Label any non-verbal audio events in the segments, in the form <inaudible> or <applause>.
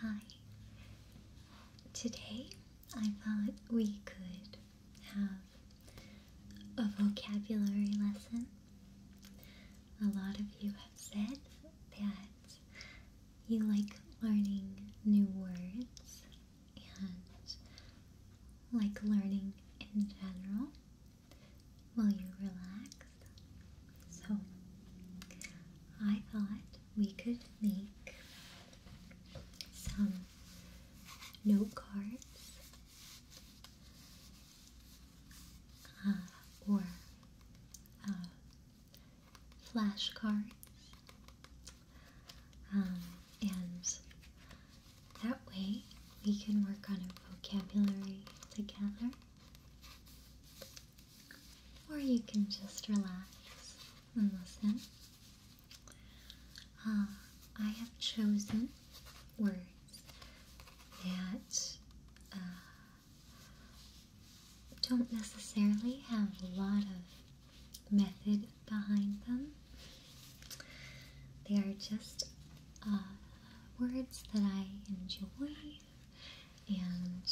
Hi. Today I thought we could have a vocabulary lesson. A lot of you have said that you like learning new words and like learning in general. Will you relax? So I thought we could make some note cards uh, or uh, flashcards, um, and that way we can work on our vocabulary together or you can just relax and listen. Uh, I have chosen words that uh, don't necessarily have a lot of method behind them. They are just uh, words that I enjoy and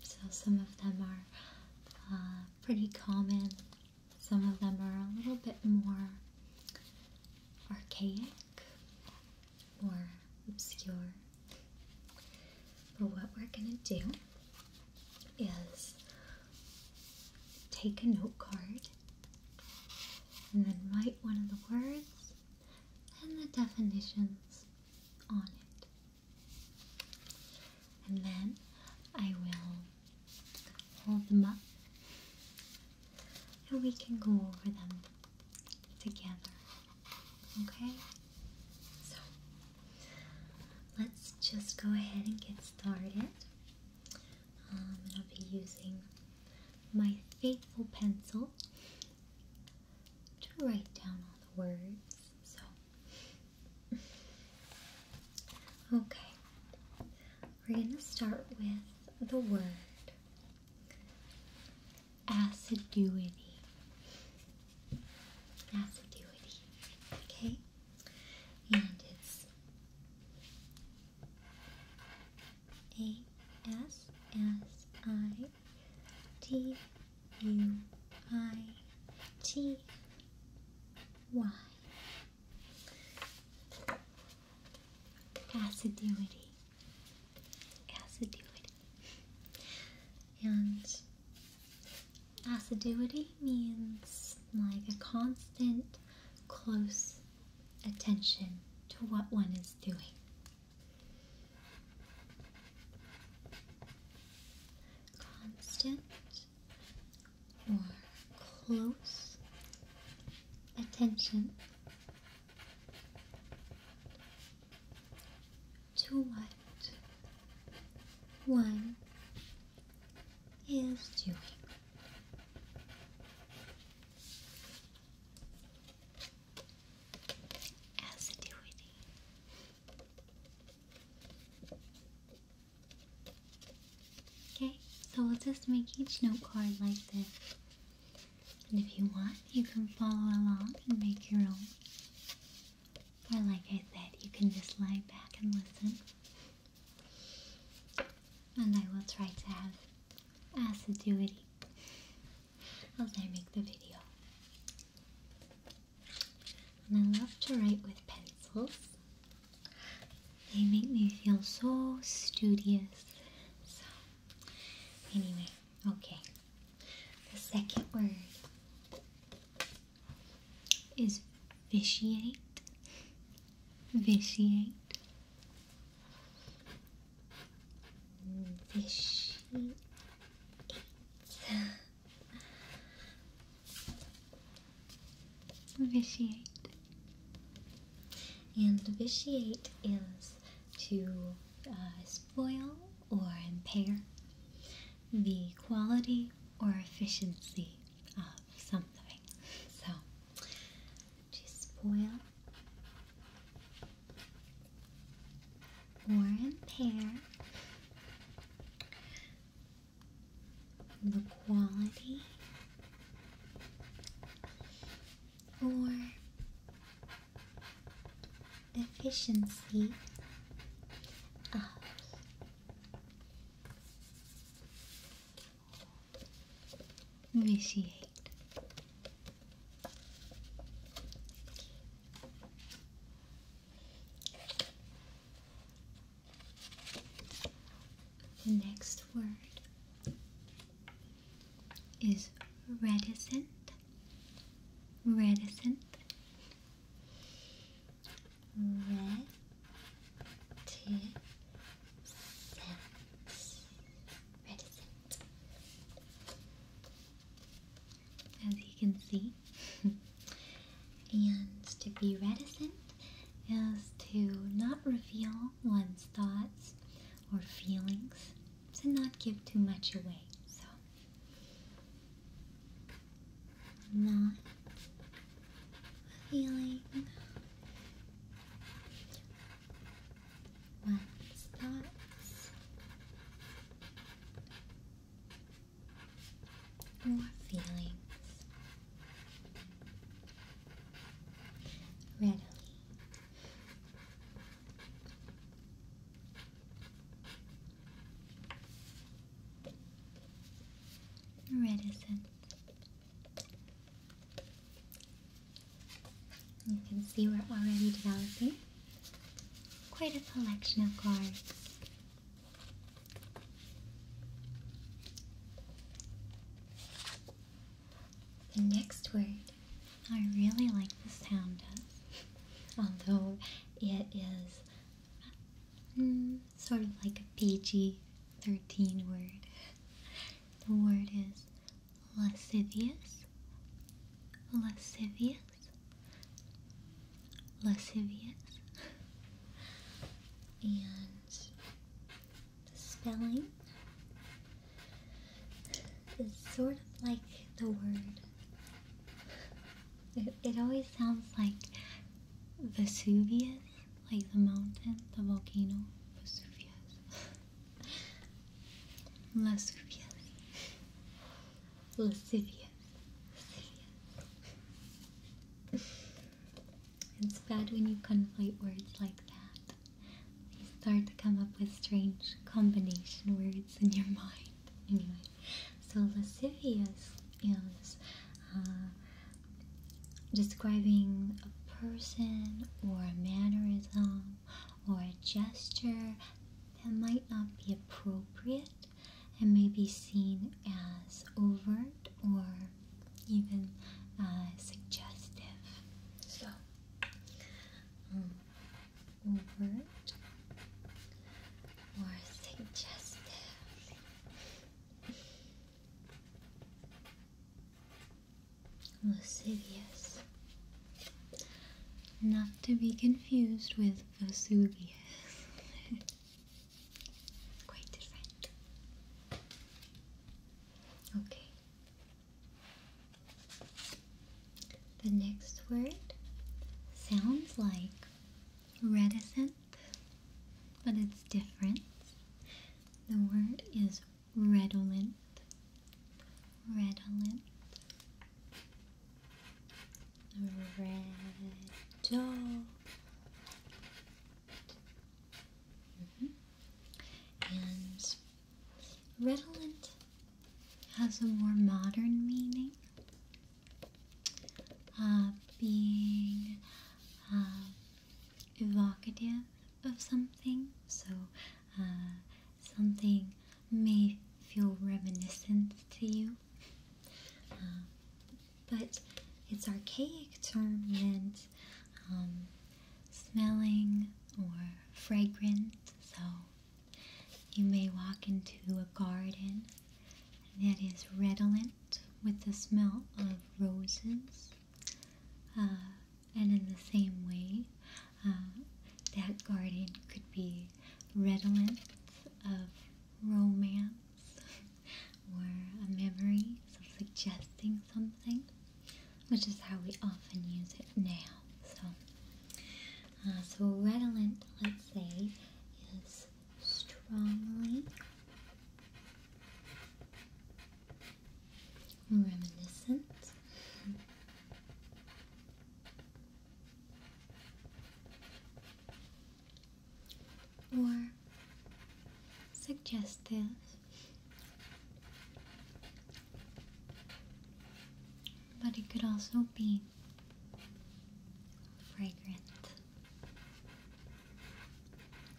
so some of them are uh, pretty common, some of them are a little bit more archaic or obscure. But what we're going to do is take a note card and then write one of the words and the definitions on it. And then I will hold them up and we can go over them together. Okay? So let's just go ahead and get started. Um, and I'll be using my faithful pencil to write down all the words. So, okay, we're going to start with the word assiduity. Assiduity, okay, and it's A S S I D U I T Y. Assiduity. Assiduity. And assiduity means like a constant, close attention to what one is doing constant or close attention to what one is doing assiduity. Okay, so we'll just make each note card like this. And if you want, you can follow along and make your own. Or, like I said, you can just lie back and listen. And I will try to have assiduity as I make the video. And I love to write with pencils. They make me feel so studious. So, anyway, okay. The second word is vitiate. Vitiate. Fishy Vitiate. And vitiate is to uh, spoil or impair the quality or efficiency of something. So, to spoil Warren Pear. The quality or efficiency of ah. vitiate. The next word is reticent, reticent, reticent as you can see. <laughs> and to be reticent is to not reveal one's thoughts or feelings, to not give too much away. So, not feeling lens dots, more feelings readily. Reticent. You can see we're already developing Quite a collection of cards. The next word, I really like the sound of, although it is mm, sort of like a peachy 13 word. The word is lascivious. Lascivious lascivious, and the spelling is sort of like the word. It, always sounds like Vesuvius, like the mountain, the volcano, Vesuvius. Vesuvius. <laughs> lascivious. It's bad when you conflate words like that. You start to come up with strange combination words in your mind. Anyway, so lascivious is uh, describing a person or a mannerism or a gesture that might not be appropriate and may be seen as overt or even uh, suggestive. So, um, overt or suggestive. Lascivious. Not to be confused with Vesuvius. <laughs> Quite different. Okay. The next word sounds like reticent, but it's different. The word is redolent. Redolent red mm-hmm. And redolent has a more modern meaning, uh, being uh, evocative of something. So uh, something may feel reminiscent to you. Um, but its archaic term meant um, smelling or fragrant. So you may walk into a garden that is redolent with the smell of roses. Uh, and in the same way, uh, that garden could be redolent of romance or a memory suggesting something, which is how we often use it now. So, uh, so redolent, let's say, is strongly reminiscent or suggestive but it could also be fragrant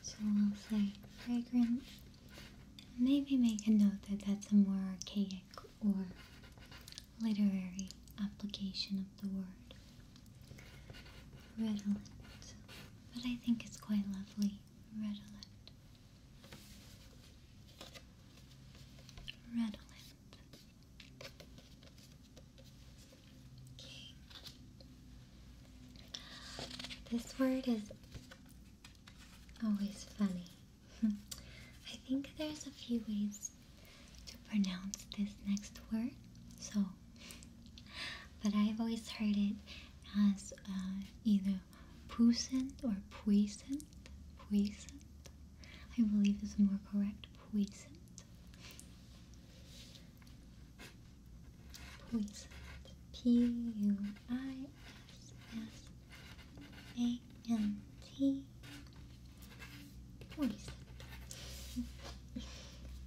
so i will say fragrant maybe make a note that that's a more archaic or literary application of the word. Redolent. But I think it's quite lovely. Redolent. Redolent. Okay. This word is always funny. Hmm. I think there's a few ways to pronounce this next word, so but I've always heard it as uh, either puissant or puissant, puissant. I believe is more correct, puissant. Puissant. P U I S S a Poison.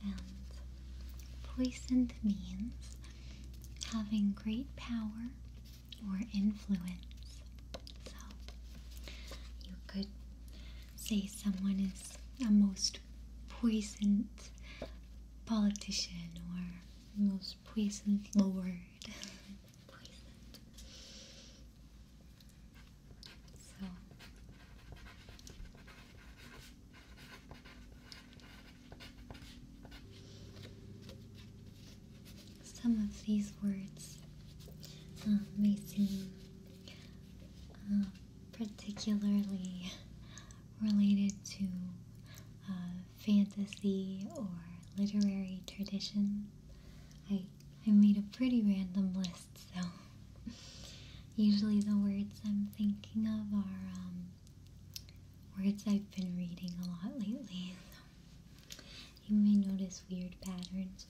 and poisoned means having great power or influence. So you could say someone is a most poisoned politician or most poisoned lord. <laughs> So some of these words um, may seem um, particularly related to uh, fantasy or literary tradition. I I made a pretty random list, so usually the words I'm thinking of are um, words I've been reading a lot lately. you may notice weird patterns.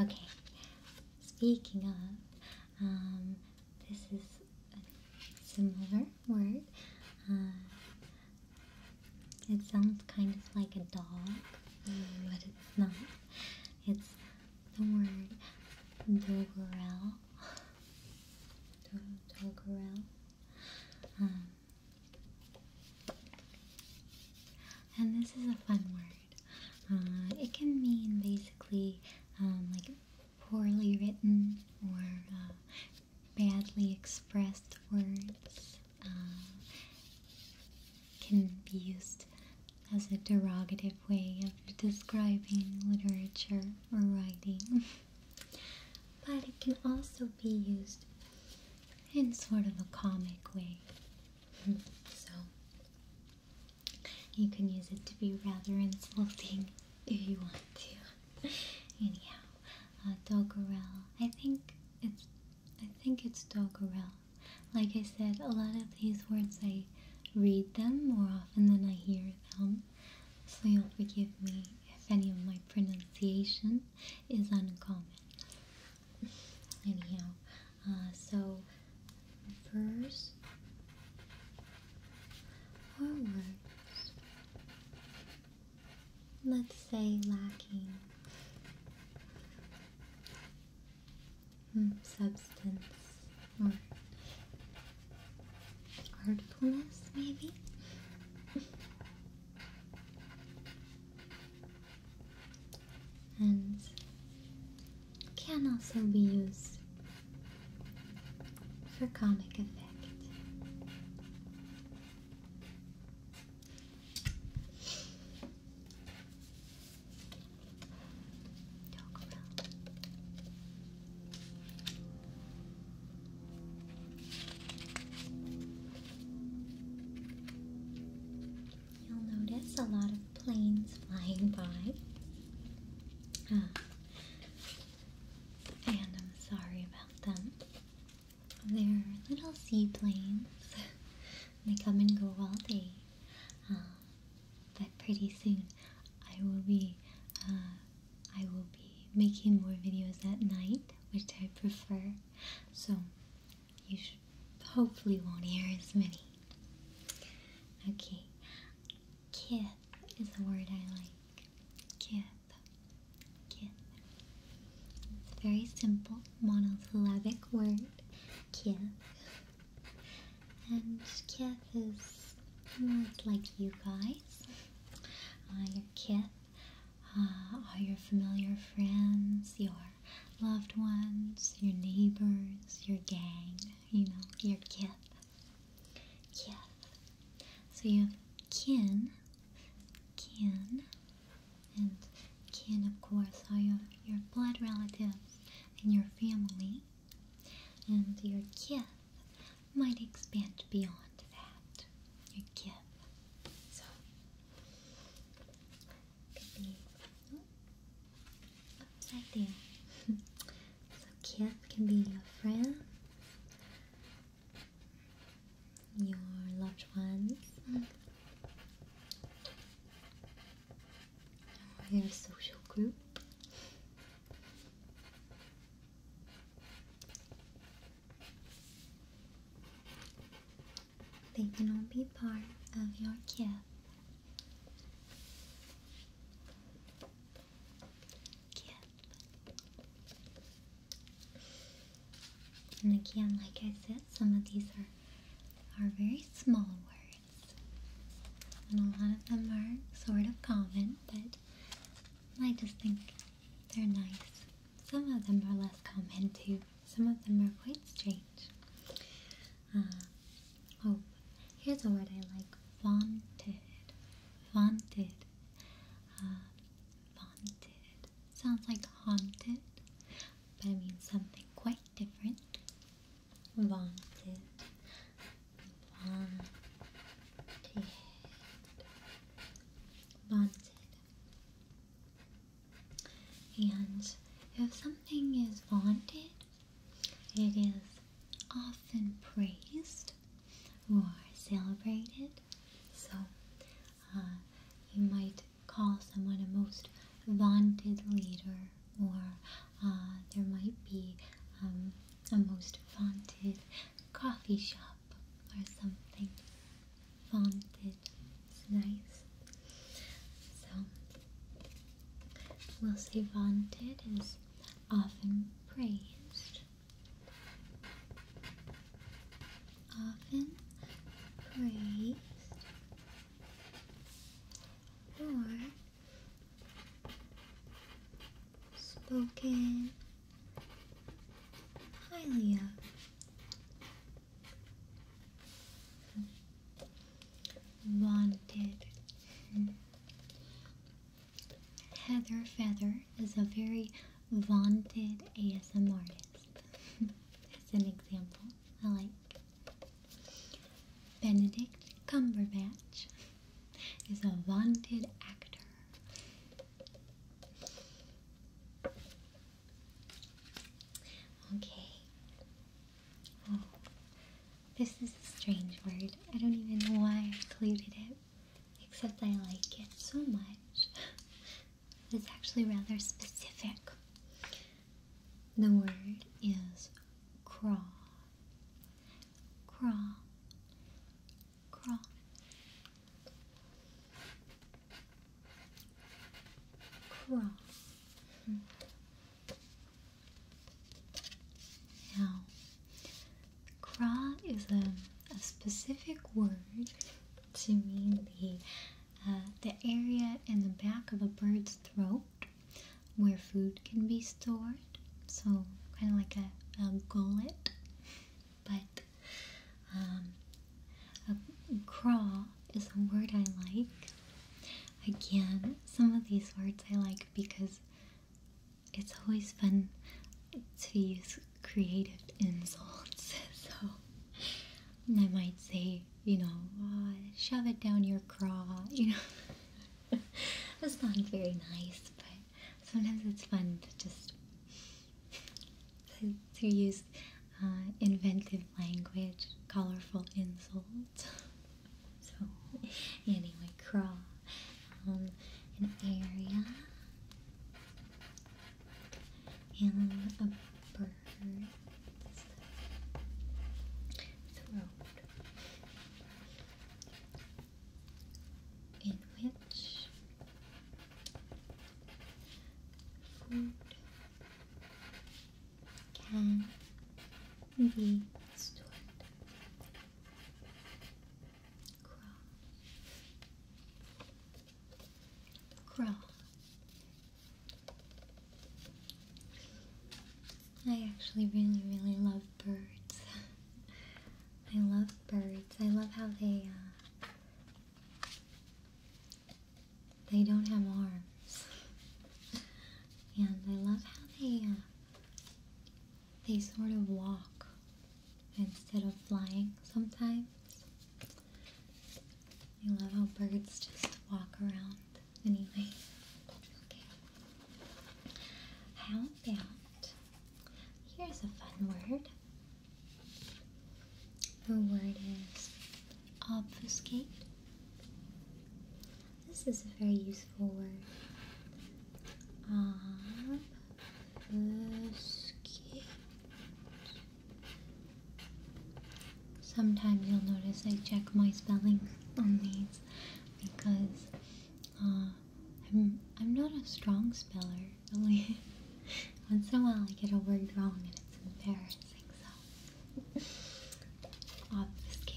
Okay, speaking of, um, this is a similar word. Uh, it sounds kind of like a dog, but it's not. It's the word doggerel. Doggerel. Um, and this is a fun word. Uh, it can mean basically um, like poorly written or uh, badly expressed words uh, can be used as a derogative way of describing literature or writing. but it can also be used in sort of a comic way. so you can use it to be rather insulting if you want to. <laughs> Anyhow, uh, Doggerel, I think it's I think it's doggerel. Like I said, a lot of these words I read them more often than I hear them. So you'll forgive me if any of my pronunciation is uncommon. Anyhow, uh, so first, or words let's say lacking hmm, substance or hmm. artfulness, maybe. and can also be used for comic effect. You'll notice a lot of planes flying by. Ah. and I'm sorry about them. They're little seaplanes. <laughs> they come and go all day. Um, but pretty soon, I will be uh, I will be making more videos at night, which I prefer. So you should hopefully won't hear as many. Okay, kith is a word I like. Kith kith. It's a very simple monosyllabic word, kith. And kith is like you guys. Uh, your kith uh, are your familiar friends, your loved ones, your neighbors, your gang, you know, your kith. Kith. So you have kin, kin, and kin, of course, are your, blood relatives and your family, and your kith might expand beyond that. Your kith. So, could be oh, upside down. <laughs> so, kith can be your friends, your loved ones, your social group. They can all be part of your gift. And again, like I said, some of these are are very small words. And a lot of them are sort of common, but I just think they're nice. Some of them are less common too. Some of them are quite strange. Uh, oh, here's a word I like. Vaunted. Vaunted. Uh, vaunted sounds like haunted, but I mean something quite different. Wanted, wanted, wanted. And if something is wanted, it is often praised or celebrated. So, you uh, might call someone a most vaunted leader, or uh, there might be um, a most vaunted coffee shop or something. Vaunted. It's nice. So, we'll say vaunted is often praised often praised or spoken highly of. Wanted. Heather Feather is a very vaunted ASM artist <laughs> as an example. I like Benedict Cumberbatch is a vaunted actor. Okay. Oh, this is a strange word. I don't even know why I included it, except I like it so much. <laughs> It's actually rather specific. The word is crawl. Crawl. Crawl. Crawl. Hmm. Now, crawl is a, a specific word to mean the uh, the area in the back of a bird's throat where food can be stored. So, kind of like a, gullet, but um, a craw is a word I like. Again, some of these words I like because it's always fun to use creative insults. <laughs> So I might say, you know, uh, shove it down your craw. <laughs> You know, it's not very nice, but sometimes it's fun to just to, use uh, inventive language, colorful insults. So anyway, craw. Um, an area and a bird. It's in which food can be stored. Crawl. I actually really, really love birds. <laughs> I love birds. I love how they uh, they don't have arms, <laughs> and I love how they uh, they sort of walk instead of flying sometimes. I love how birds just walk around anyway. Okay. How about here's a fun word. The word is obfuscate. This is a very useful word. Obfuscate. Sometimes you'll notice I check my spelling <laughs> on these because uh, I'm I'm not a strong speller really. <laughs> Once in a while I get a word wrong and it's embarrassing, so <laughs> obfuscate.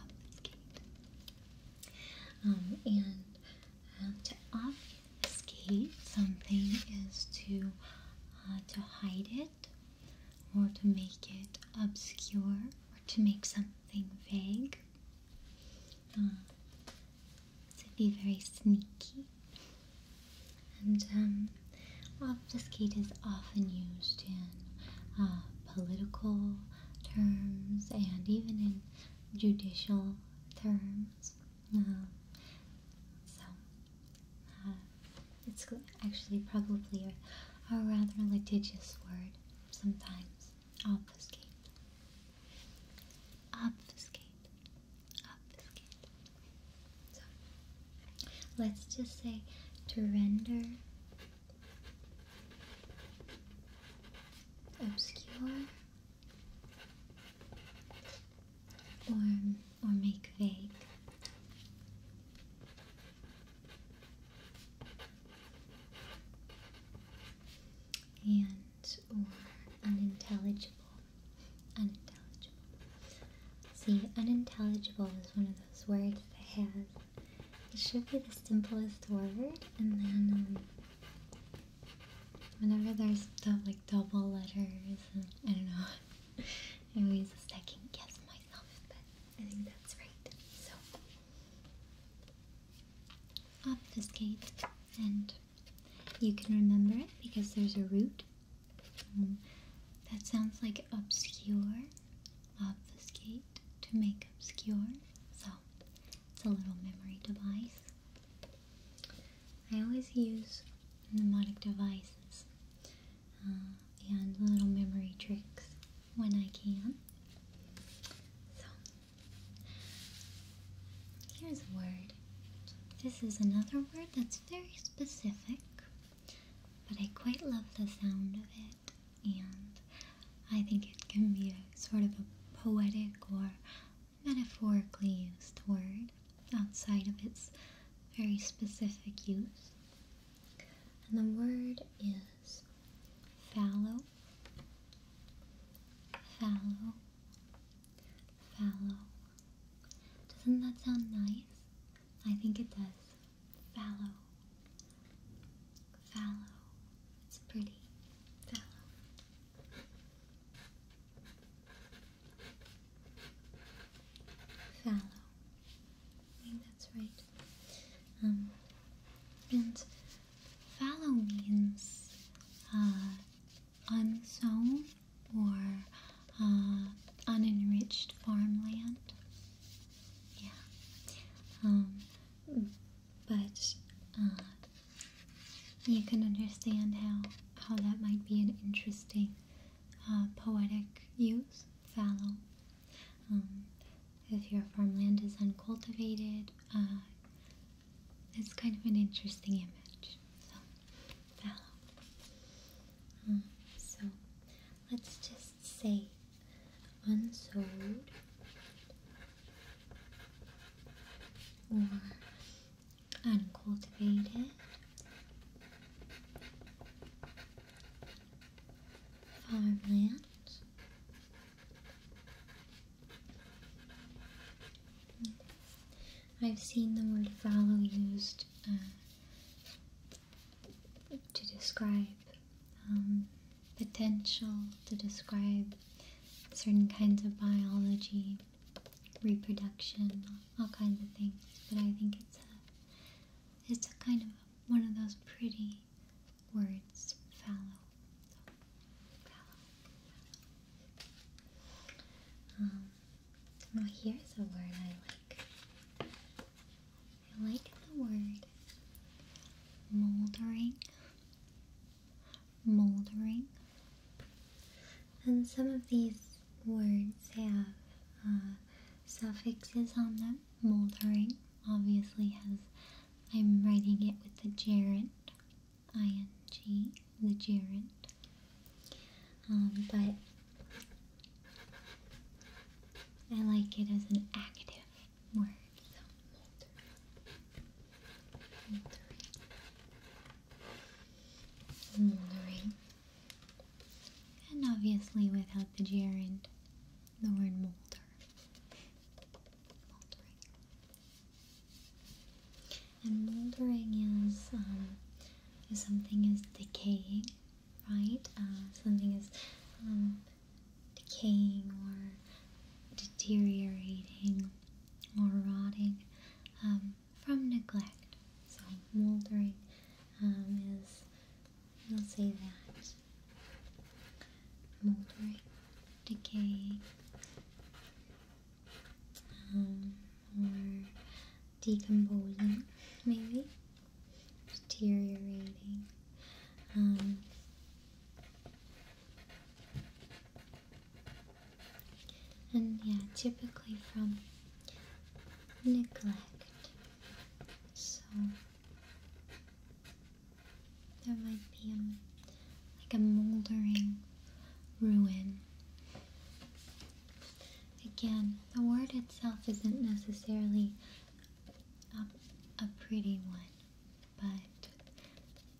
Obfuscate. Um, and to obfuscate something is to uh, to hide it, or to make it obscure, or to make something vague. Uh, to be very sneaky. And um, obfuscate is often used in uh, political terms and even in judicial terms. Um, so uh, it's actually probably a, a rather litigious word sometimes. Obfuscate. Obfuscate. Obfuscate. So let's just say to render obscure form or make vague. And or unintelligible. Unintelligible. See, unintelligible is one of those words that has it should be the simplest word and then um, Whenever there's stuff like double letters, I don't know. <laughs> I always second guess myself, but I think that's right. So, obfuscate, and you can remember it because there's a root. Um, that sounds like obscure. Obfuscate to make obscure. So, it's a little memory device. I always use mnemonic devices uh, and little memory tricks when I can. So, here's a word. This is another word that's very specific, but I quite love the sound of it, and I think it can be a sort of a poetic or metaphorically used word outside of its very specific use. And the word is fallow, fallow, fallow. Doesn't that sound nice? I think it does. Fallow, fallow. It's pretty. Fallow fallow. I think that's right. Um, and fallow means uh, unsown or uh, unenriched farmland. Yeah. Um, but uh, you can understand how how that might be an interesting uh, poetic use. Fallow. Um, if your farmland is uncultivated, uh, it's kind of an interesting image. So, fallow. Um, so, let's just say unsold or uncultivated, farmland, I've seen the word fallow used uh, to describe um, potential, to describe certain kinds of biology reproduction, all kinds of things. But I think it's a, it's a kind of one of those pretty words, fallow. Fallow. Um, now here's a word I like. I like the word moldering moldering. And some of these words have uh, suffixes on them. Moldering obviously has, I'm writing it with the gerund, ing, the gerund. Um, but I like it as an active word, Moldering, mm, And obviously without the gerund, the word molder. Moldering. And moldering is um, if something is decaying, right? Uh, something is um, decaying or deteriorating or rotting. Um, from neglect. So moldering um, is, we'll say that, moldering, decay, um, or decomposing, maybe, deteriorating. Um, and yeah, typically from neglect. So there might be um, like a moldering ruin. Again, the word itself isn't necessarily a, a pretty one, but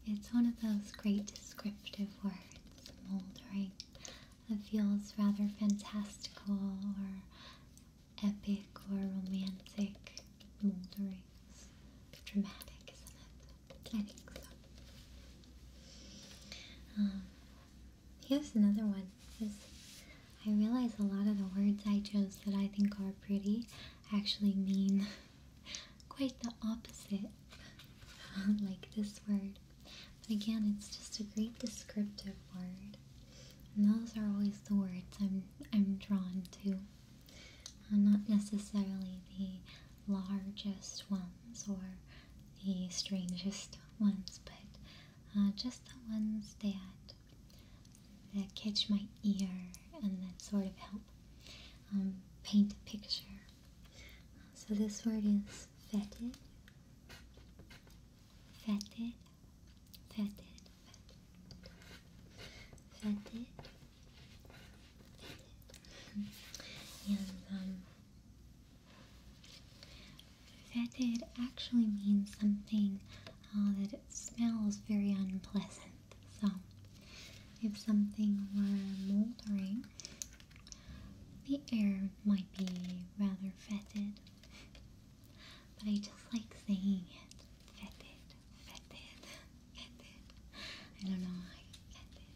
it's one of those great descriptive words, moldering. It feels rather fantastical or epic or romantic. Moldering. Dramatic, isn't it? I think so. here's um, another one. I realize a lot of the words I chose that I think are pretty actually mean <laughs> quite the opposite <laughs> like this word. But again, it's just a great descriptive word. And those are always the words I'm I'm drawn to. Uh, not necessarily the largest ones or the strangest <laughs> ones, but uh, just the ones that that catch my ear and that sort of help um, paint a picture so this word is fetid, fetid, fetid, fetid, fetid. and um, fetid actually means something uh, that it smells very unpleasant. So if something were moldering, the air might be rather fetid, but I just like saying it. Fetid, fetid, fetid. I don't know why. Fetid,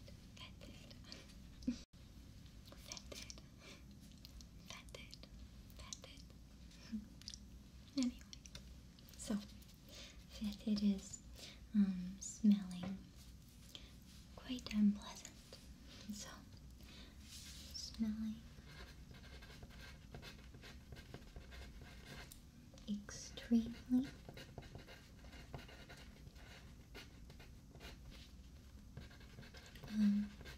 fetid. fetid, fetid, fetid. anyway, so fetid is um, smelling quite unpleasant. So, smelly. extremely unpleasant.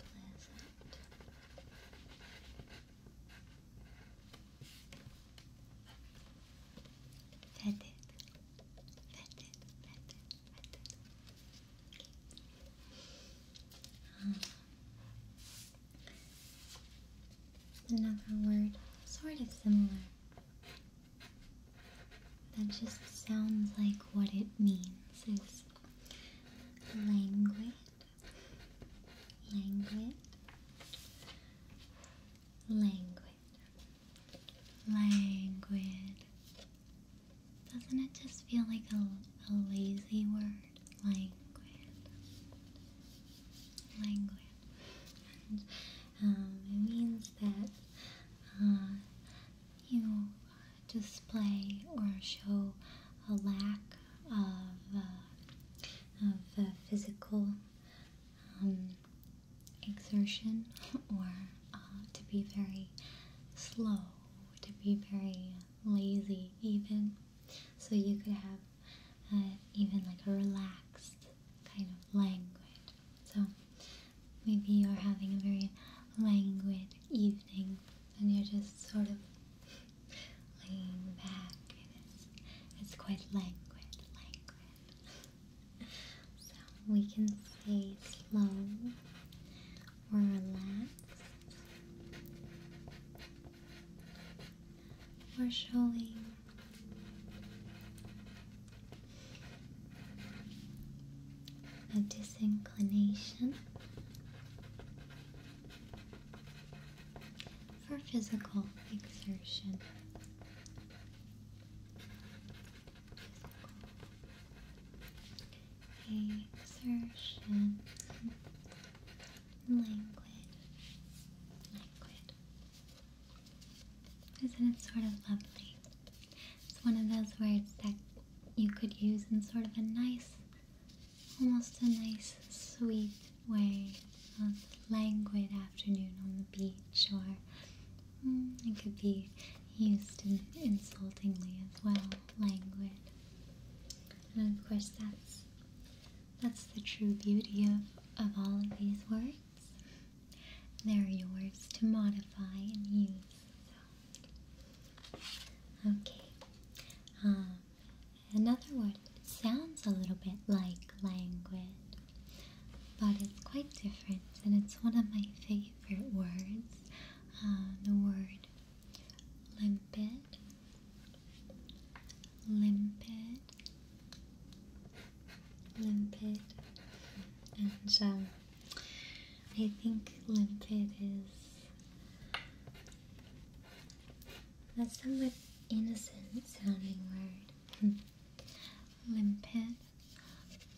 Fetid another word, sort of similar. That just sounds like what it means is languid, languid, languid. Languid. Doesn't it just feel like a, lazy word? Languid. Languid. Um, it means that uh, you display or show a lack of, uh, of uh, physical um, exertion <laughs> or uh, to be very slow, to be very lazy, even. So you could have uh, even like a relaxed kind of languid. So maybe you're having a very languid evening and you're just sort of <laughs> laying back it's, it's quite languid, languid. <laughs> So we can say slow or relaxed or showing a disinclination for physical exertion. Exertion. Languid. Isn't it sort of lovely? It's one of those words that you could use in sort of a nice, almost a nice, sweet way. Of languid afternoon on the beach or Mm, it could be used insultingly as well, languid. And of course that's that's the true beauty of, of all of these words. They're yours to modify and use. Okay. Um, another word. It sounds a little bit like languid but it's quite different and it's one of my favorite words. Um, the word limpid, limpid, limpid, and um, I think limpid is a somewhat innocent sounding word. Hmm. limpid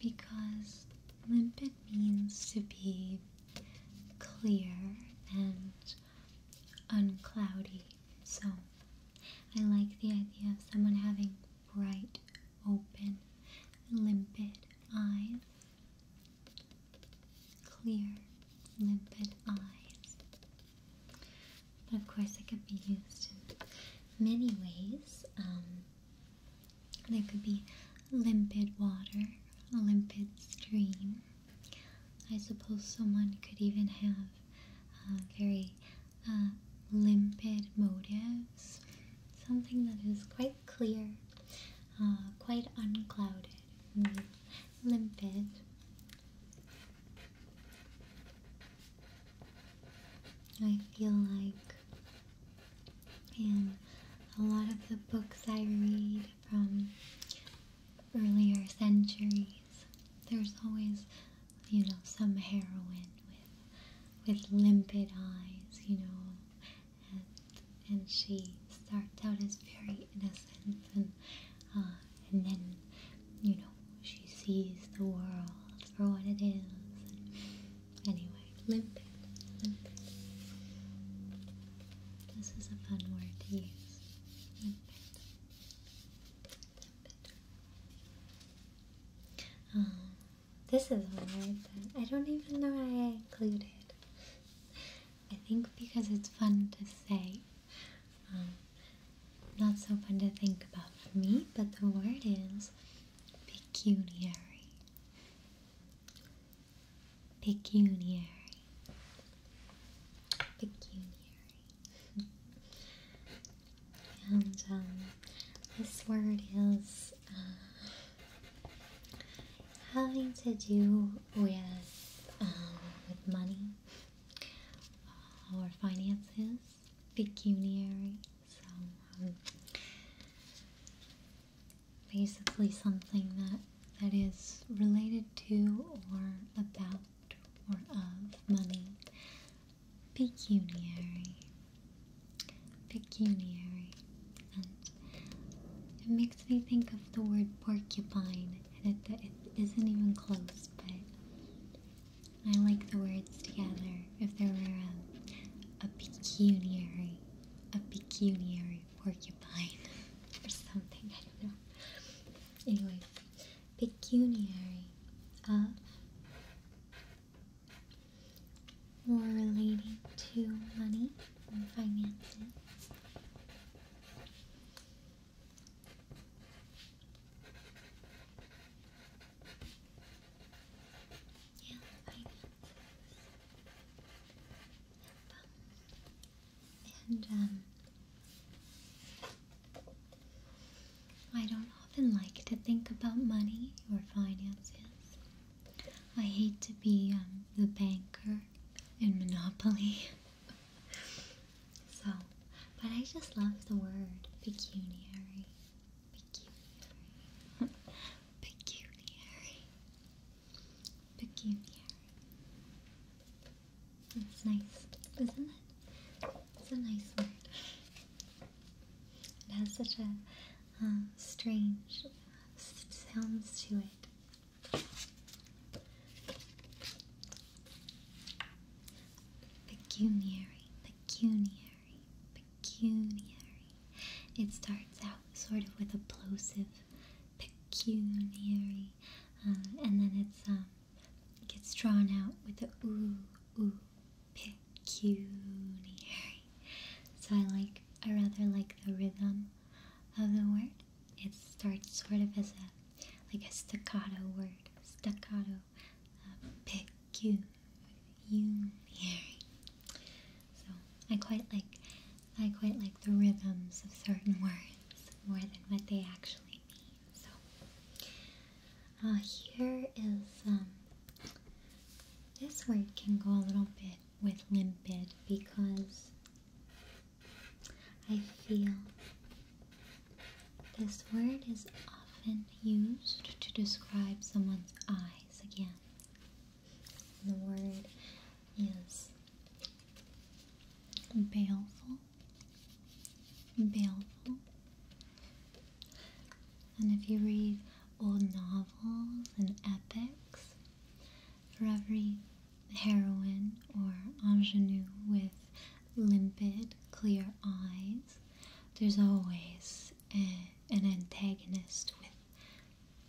because limpid means to be clear and uncloudy. So I like the idea of someone having bright, open, limpid eyes. Clear, limpid eyes. But of course, it could be used in many ways. Um, there could be limpid water, a limpid stream. I suppose someone could even have uh, very uh, limpid motives, something that is quite clear, uh, quite unclouded, mm, limpid. I feel like in a lot of the books I read from earlier centuries, there's always, you know, some heroine with with limpid eyes, you know, and and she starts out as very innocent and uh, and then you know she sees the world for what it is Anyway, limpid, This is a fun word to use. Um, this is a word that I don't even know I included. I think because it's fun to say. Um, not so fun to think about for me, but the word is pecuniary, pecuniary, pecuniary. and um, this word is uh, having to do with um, with money uh, or finances, pecuniary. So um, basically something that that is related to or about or of money. Pecuniary. Pecuniary. it makes me think of the word porcupine. And it isn't even close, but I like the words together if there were a, a pecuniary, a pecuniary porcupine <laughs> or something, I don't know. Anyway, pecuniary uh, or relating to money and finances. Yeah, I And, um, I don't often like to think about money or finances. I hate to be um, the banker in Monopoly. <laughs> so, but I just love the word pecuniary. Pecuniary. Pecuniary. Pecuniary. That's nice, isn't it? It's a nice word. It has such a strange sounds to it. Pecuniary, pecuniary pecuniary, It starts out sort of with a plosive, pecuniary, uh, and then it's um, it gets drawn out with a ooh ooh pecuniary. So I like I rather like the rhythm of the word. It starts sort of as a like a staccato word, staccato pick you, you Harry. So I quite like I quite like the rhythms of certain words more than what they actually mean. So uh, here is um, this word can go a little bit with limpid because I feel this word is often used to describe someone's eyes again. The word is baleful, baleful. And if you read old novels and epics, for every heroine or ingenue with limpid, clear eyes, there's always Eh, an antagonist with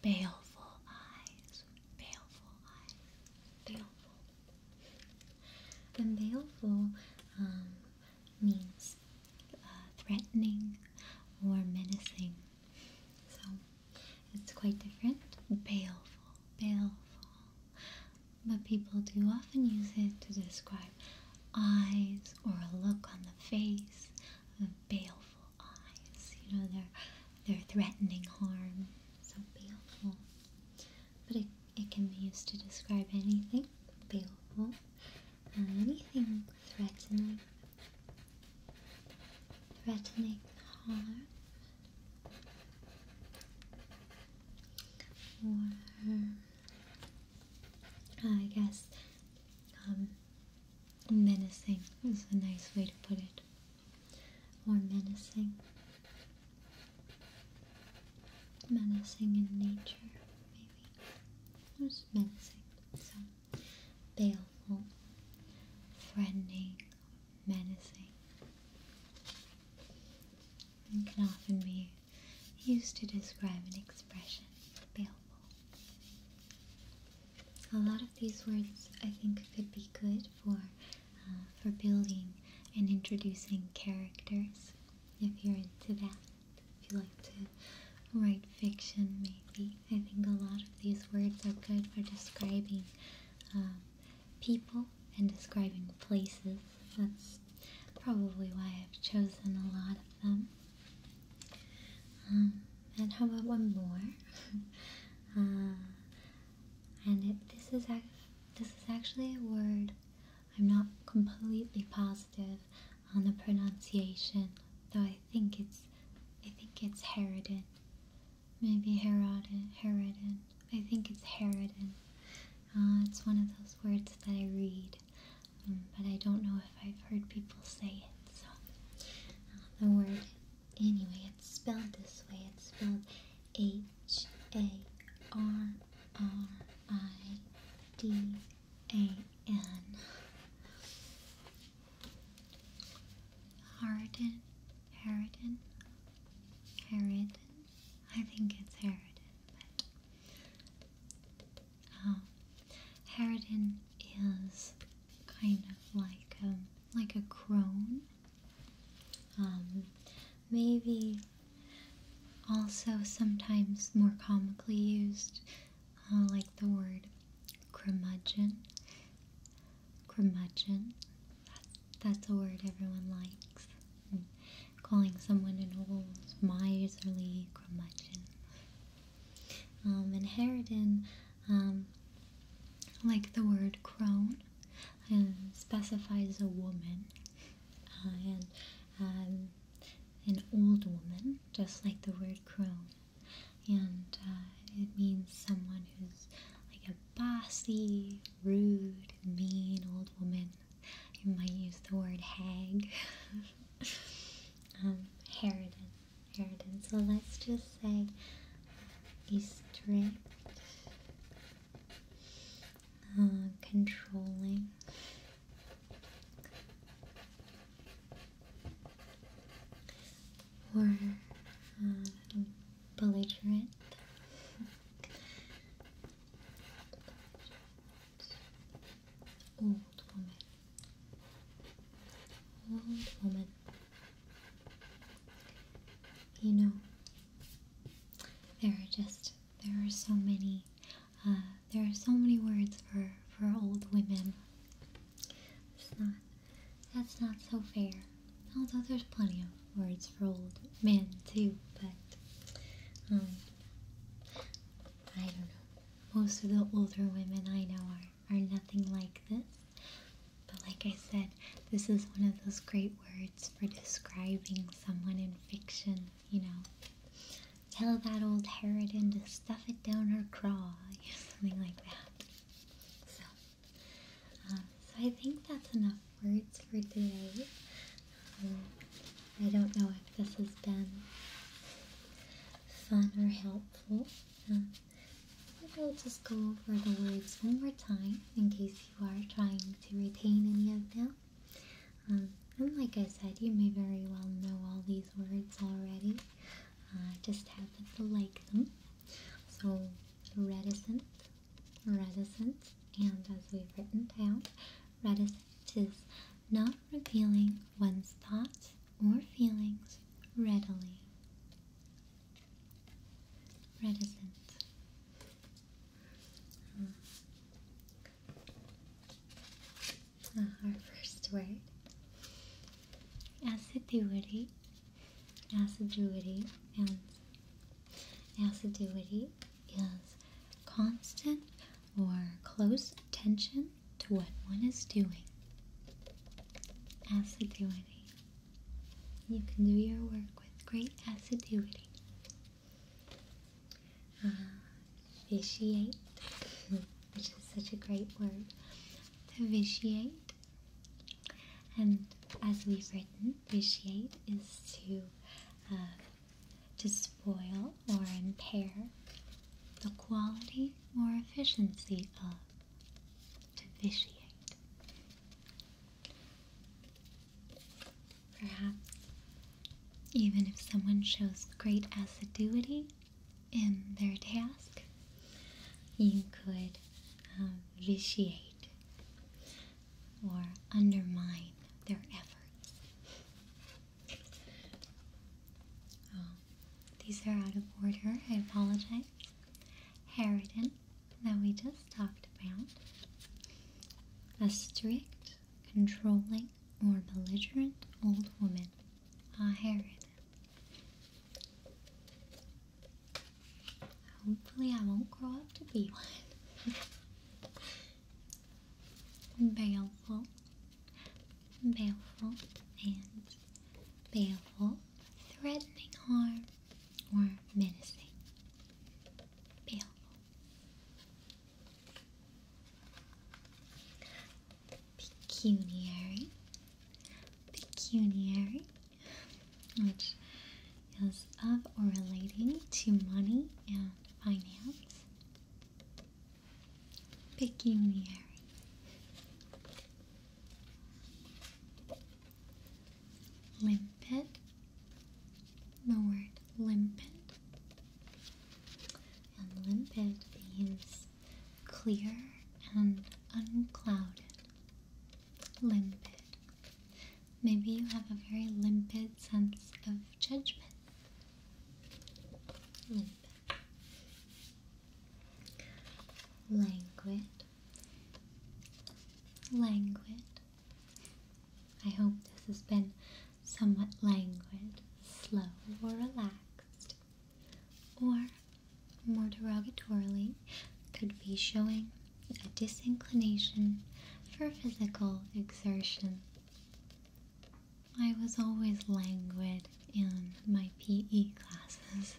baleful eyes. Baleful eyes. Baleful. And baleful um, means uh, threatening or menacing. So it's quite different. Baleful. Baleful. But people do often use it to describe eyes or a look on the face of baleful eyes. You know, they're, they're threatening harm. So baleful. But it, it can be used to describe anything baleful and um, anything threatening. Threatening harm. Or, I guess um, menacing is a nice way to put it, More menacing, menacing in nature, maybe, just menacing, so, baleful, threatening, menacing, it can often be used to describe an expression, baleful. A lot of these words I think could be good for, uh, for building and introducing characters, if you're into that. If you like to write fiction, maybe. I think a lot of these words are good for describing um, people and describing places. That's probably why I've chosen a lot of them. Um, and how about one more? <laughs> Uh, and this is this is actually a word I'm not completely positive on the pronunciation, though I think it's I think it's Herodin. Maybe Herodin, Herodin. I think it's Herodin. Uh, it's one of those words that I read but I don't know if I've heard people say it. So the word, anyway, it's spelled this way. It's spelled H A R R I D A N. Harden, Harden, Harden. I think it's Harden, um, Harridan is kind of like a, um, like a crone. Um, maybe also sometimes more comically used, uh, like the word curmudgeon. Curmudgeon. that's a word everyone likes calling someone an old miserly curmudgeon. Um, and Harridan, um, like the word crone, um, specifies a woman uh, and an old woman, just like the word crone. And uh, it means someone who's like a bossy, rude, mean old woman you might use the word hag. um, Harridan. So let's just say a strict, uh, controlling, or uh, belligerent Old woman. Old woman. You know, there are just there are so many uh, there are so many words for for old women. It's not that's not so fair. Although there's plenty of words for old men too, but um, I don't know most of the older women I know are, are nothing like this. But like I said, this is one of those great words for describing someone in fiction, you know. Tell that old harridan to stuff it down her craw, <laughs> something like that. So, um, so I think that's enough words for today. Um, I don't know if this has been fun or helpful. Uh, maybe I'll just go over the words one more time in case you are trying to retain any of them. Um, and like I said, you may very well know all these words already. Uh, just happen to like them. So, reticent, reticent, and as we've written down, reticent 'tis not revealing one's thoughts or feelings readily. Reticent. Hmm. our first word assiduity, assiduity, and assiduity is constant or close attention to what one is doing. Asiduity. You can do your work with great assiduity. Uh, vitiate, <laughs> which is such a great word. To vitiate. And as we've written, vitiate is to uh, to spoil or impair the quality or efficiency of, to vitiate. Perhaps even if someone shows great assiduity in their task, you could um, vitiate or undermine their efforts. Oh, these are out of order. I apologize. Harridan, that we just talked about. A strict, controlling, or belligerent old woman. A ah, Harridan. Hopefully, I won't grow up to be one. <laughs> baleful, baleful, and baleful, threatening harm or menacing. Baleful. Pecuniary, pecuniary, which is of or relating to money and finance. Pecuniary. Limpid. The word limpid. And limpid means clear and unclouded. Limpid. Maybe you have a very limpid sense of judgment. Languid. Languid. I hope this has been somewhat languid, slow, or relaxed, or more derogatorily, could be showing a disinclination for physical exertion. I was always languid in my PE classes.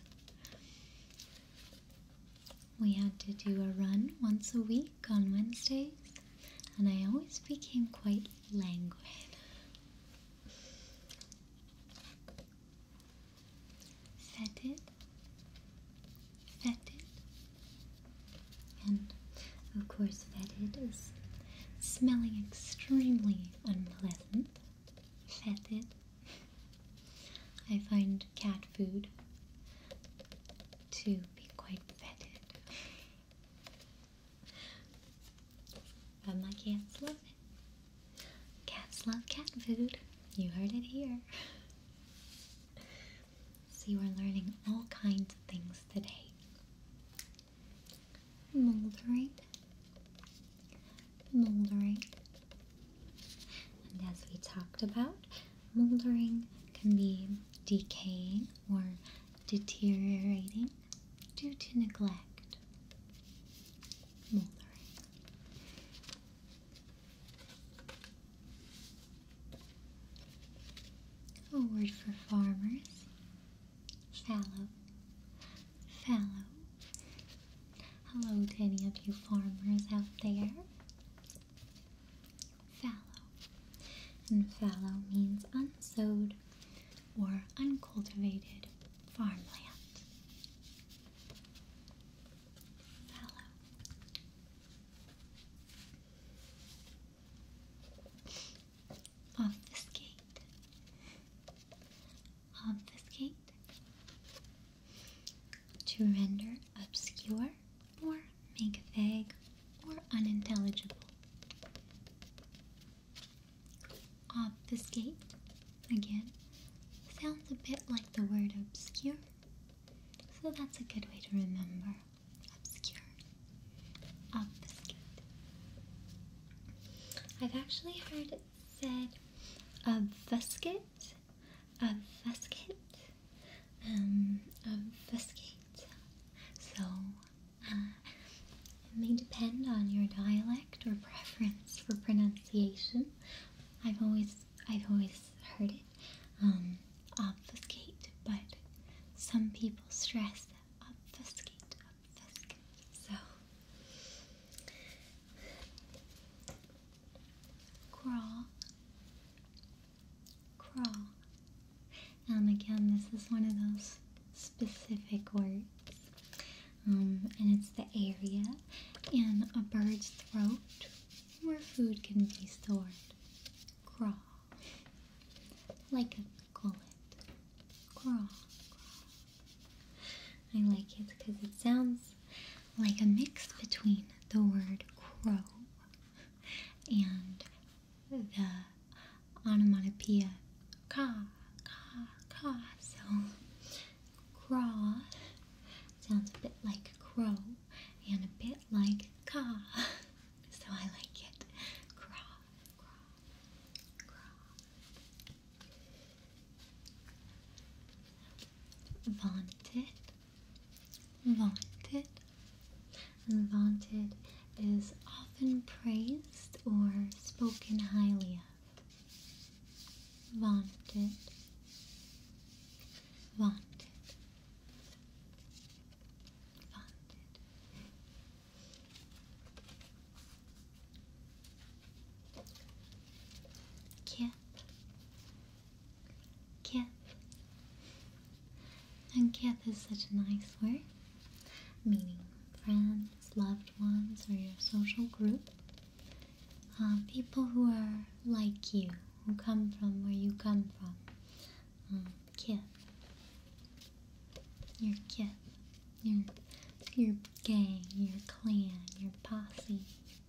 We had to do a run once a week on Wednesdays, and I always became quite languid. Fetid, fetid, and of course, fetid is smelling extremely unpleasant. Fetid. I find cat food to be quite fetid. But my cats love it. Cats love cat food. You heard it here. So you are learning all kinds of things today. Moldering, moldering, and as we talked about, moldering can be decaying or deteriorating due to neglect. Moldering. A word for farmers fallow, fallow. Hello to any of you farmers out there. Fallow. And fallow means unsowed or uncultivated farmland. Obfuscate. Obfuscate. To render obscure or make vague or unintelligible. Obfuscate, again, sounds a bit like the word obscure, so that's a good way to remember obscure. Obfuscate. I've actually heard it said obfuscate, obfuscate, um, obfuscate. So, uh, it may depend on your dialect or preference for pronunciation. I've always, I've always heard it, um, obfuscate, but some people stress obfuscate, fisk. crawl, crawl. Um, again, this is one of those specific words. Um, and it's the area in a bird's throat where food can be stored. Crawl. Like I call it. Grog. I like it because it sounds like a mix between the word crow and the onomatopoeia ka, ka, ka. So, craw sounds a bit like crow and a bit like ka. <laughs> So I like it. Craw, Vaunted, vaunted, and vaunted is often praised or spoken highly of. Vaunted, vaunted, vaunted. Kip, Kip, and Kip is such a nice word, meaning friends, loved ones, or your social group. Uh, people who are like you, who come from where you come from, um, kid. Your kid. Your your gang, your clan, your posse,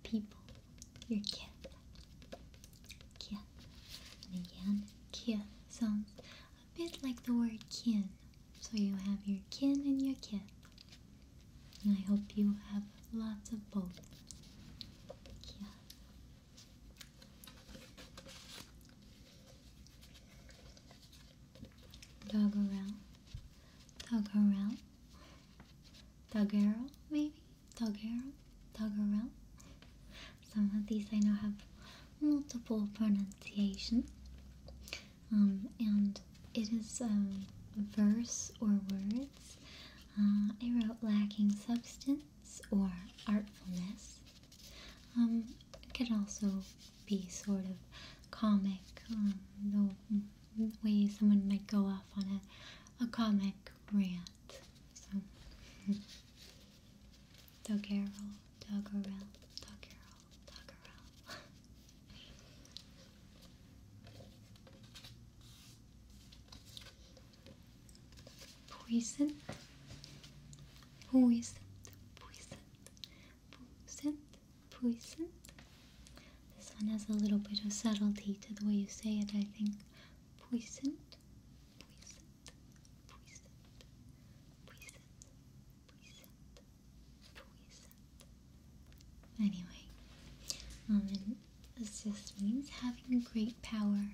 people, your kid. Kid. And again, kid sounds a bit like the word kin. So you have your kin and your kid. And I hope you have lots of both. Doggerel, Doggerel, Doggerel, maybe? Doggerel, Doggerel. Some of these I know have multiple pronunciation. Um, and it is um, verse or words. Uh, I wrote lacking substance or artfulness. Um, it can also be sort of comic, um, the way someone might go off on a, a comic rant. So, Doggerel, Doggerel, Doggerel, Poison, poison, poison, Puisant, puisant. This one has a little bit of subtlety to the way you say it, I think. Puisant, puisant, puisant, puisant, puisant, puisant. Anyway, um, this just means having great power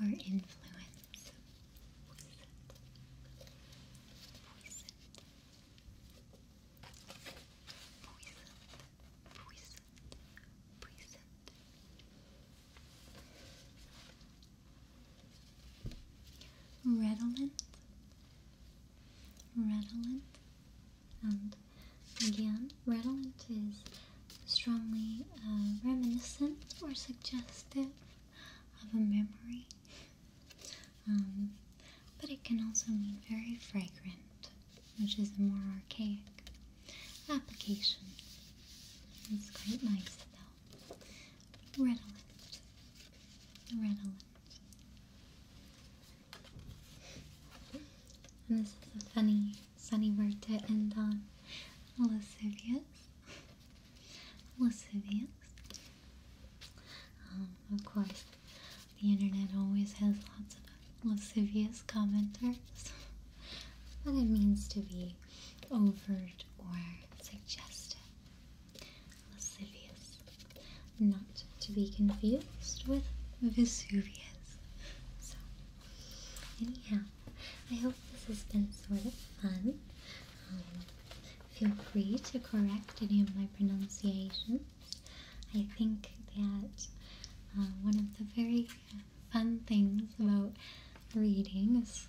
or influence redolent, redolent, and again, redolent is strongly uh, reminiscent or suggestive of a memory. Um, but it can also mean very fragrant, which is a more archaic application. It's quite nice though. Redolent. Redolent. And this is a funny, sunny word to end on. Lascivious lascivious. Um, of course, the internet always has lots of lascivious commenters, but it means to be overt or suggestive. Lascivious, not to be confused with Vesuvius. So, anyhow, I hope this has been sort of fun. Um, feel free to correct any of my pronunciations. I think that uh, one of the very fun things about reading is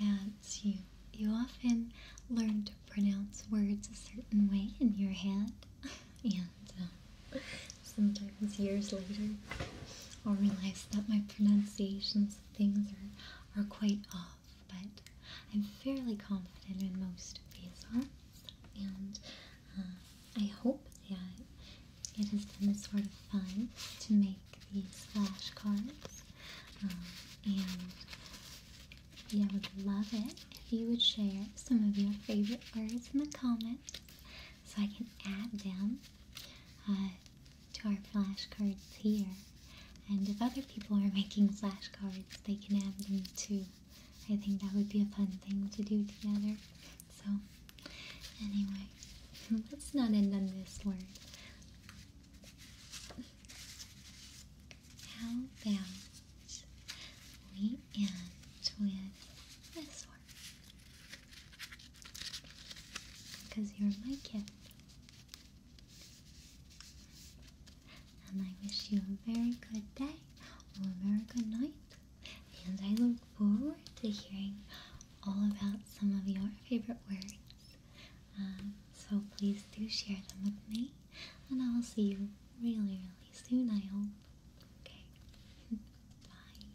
that you you often learn to pronounce words a certain way in your head, <laughs> and uh, sometimes years later, I'll realize that my pronunciations of things are are quite off, but I'm fairly confident in most of these arts, and uh, I hope that it has been a sort of fun to make these flashcards. Um, and yeah, I would love it if you would share some of your favorite words in the comments so I can add them uh, to our flashcards here. And if other people are <laughs> making flashcards, they can add them too. I think that would be a fun thing to do together. So, anyway, <laughs> let's not end on this word. How about we end with this word? Because you're my kid. And I wish you a very good day or a very good night. And I look forward to hearing all about some of your favorite words. Um, so please do share them with me. And I'll see you really, really soon, I hope. Okay. <laughs> Bye.